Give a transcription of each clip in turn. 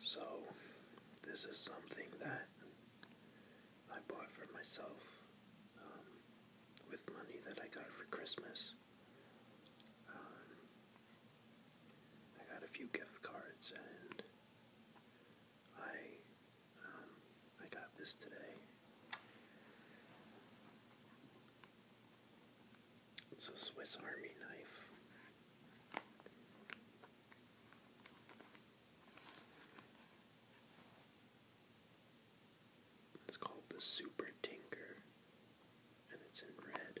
So, this is something that I bought for myself um, with money that I got for Christmas. Um, I got a few gift cards and I um, I got this today. It's a Swiss Army knife. It's called the Super Tinker, and it's in red.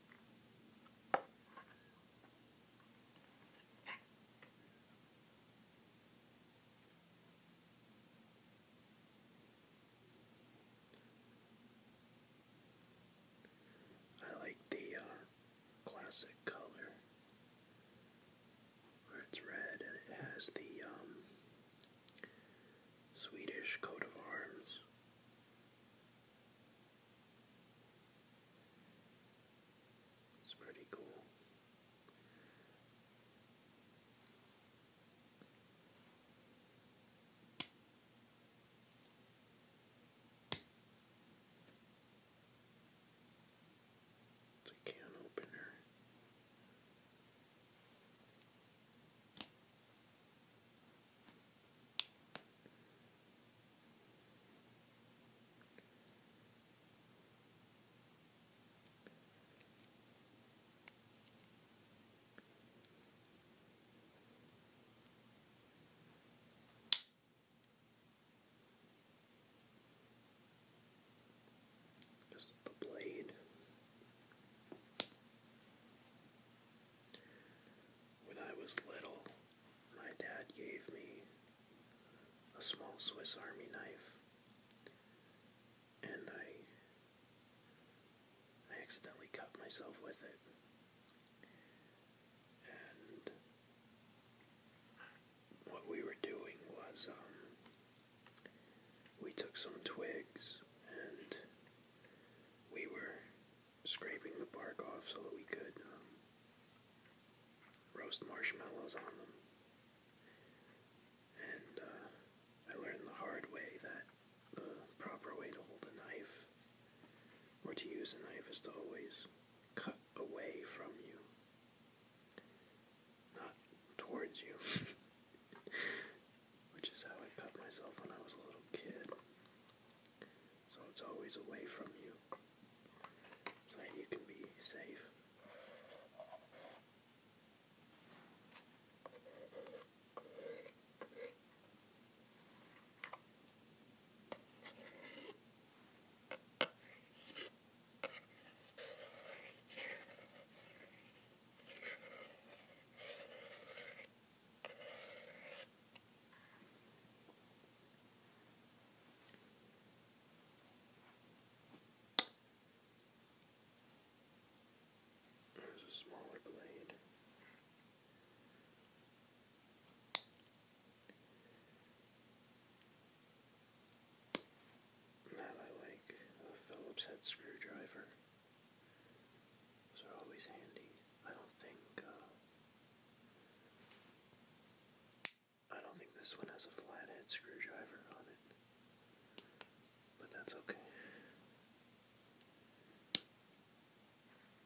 I like the uh, classic color it's red and it has the um, Swedish coat of arms it's pretty cool. It's a can opener. Just the blade. When I was little, my dad gave me a small Swiss Army knife, and I I accidentally cut myself with it. And what we were doing was um, we took some twigs and we were scraping the bark off so that we could um, roast marshmallows on them. And uh, I learned the hard way that the proper way to hold a knife or to use a knife is to always cut away from you, not towards you. which is how I cut myself when I was a little kid. So it's always away from you, so that you can be safe. There's a smaller blade. That I like a Phillips head screwdriver. Those are always handy. I don't think, uh, I don't think this one has a flathead screwdriver on it, but that's okay.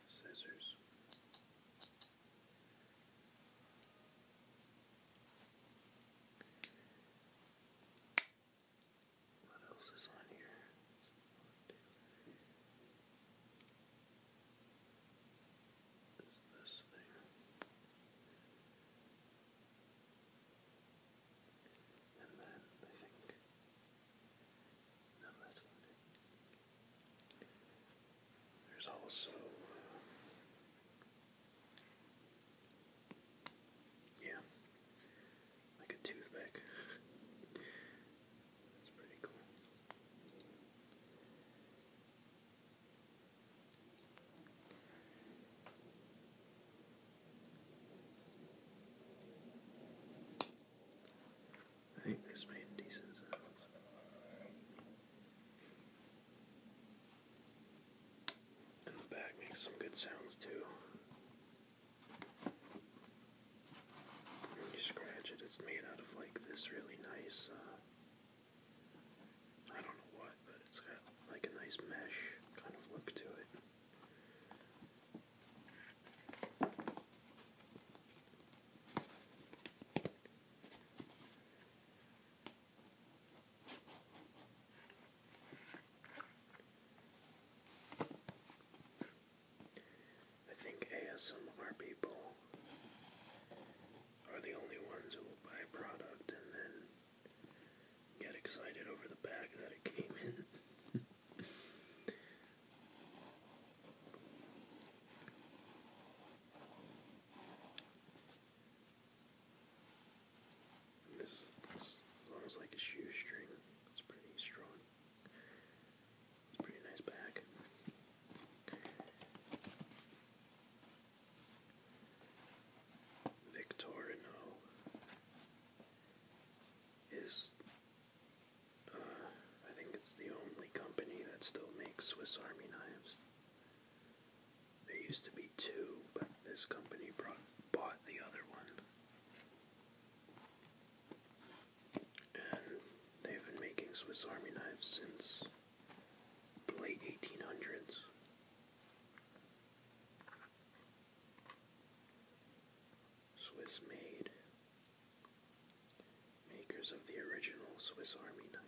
Scissors. What else is on here? Is this thing? And then I think There's also yeah like a toothpick. That's pretty cool. I think this made decent sounds. And the back makes some good sounds too. When you scratch it, it's made out of like this really nice, uh, I don't know what, but it's got like a nice mesh kind of look to it. I think ASMR people are the only ones who will buy a product and then get excited over the bag that it came in. This, is almost like a shoestring. It's pretty strong. It's pretty nice bag. Victorino is, uh, I think it's the only company that still makes Swiss Army knives. There used to be two, but this company bought the other one they've been making Swiss Army knives since the late 1800s. Swiss made. Makers of the original Swiss Army knife.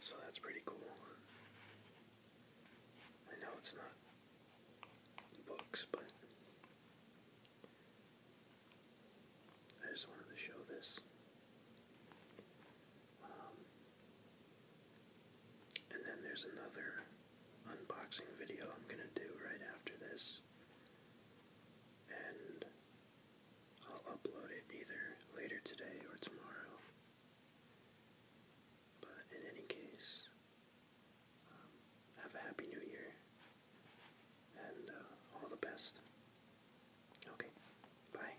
So that's pretty cool. I know it's not books, but I just wanted to show this. Um, and then there's another unboxing video I'm going to do right after this. And I'll upload it either later today or tomorrow. But in any case, um, have a happy new year and uh, all the best. Okay, bye.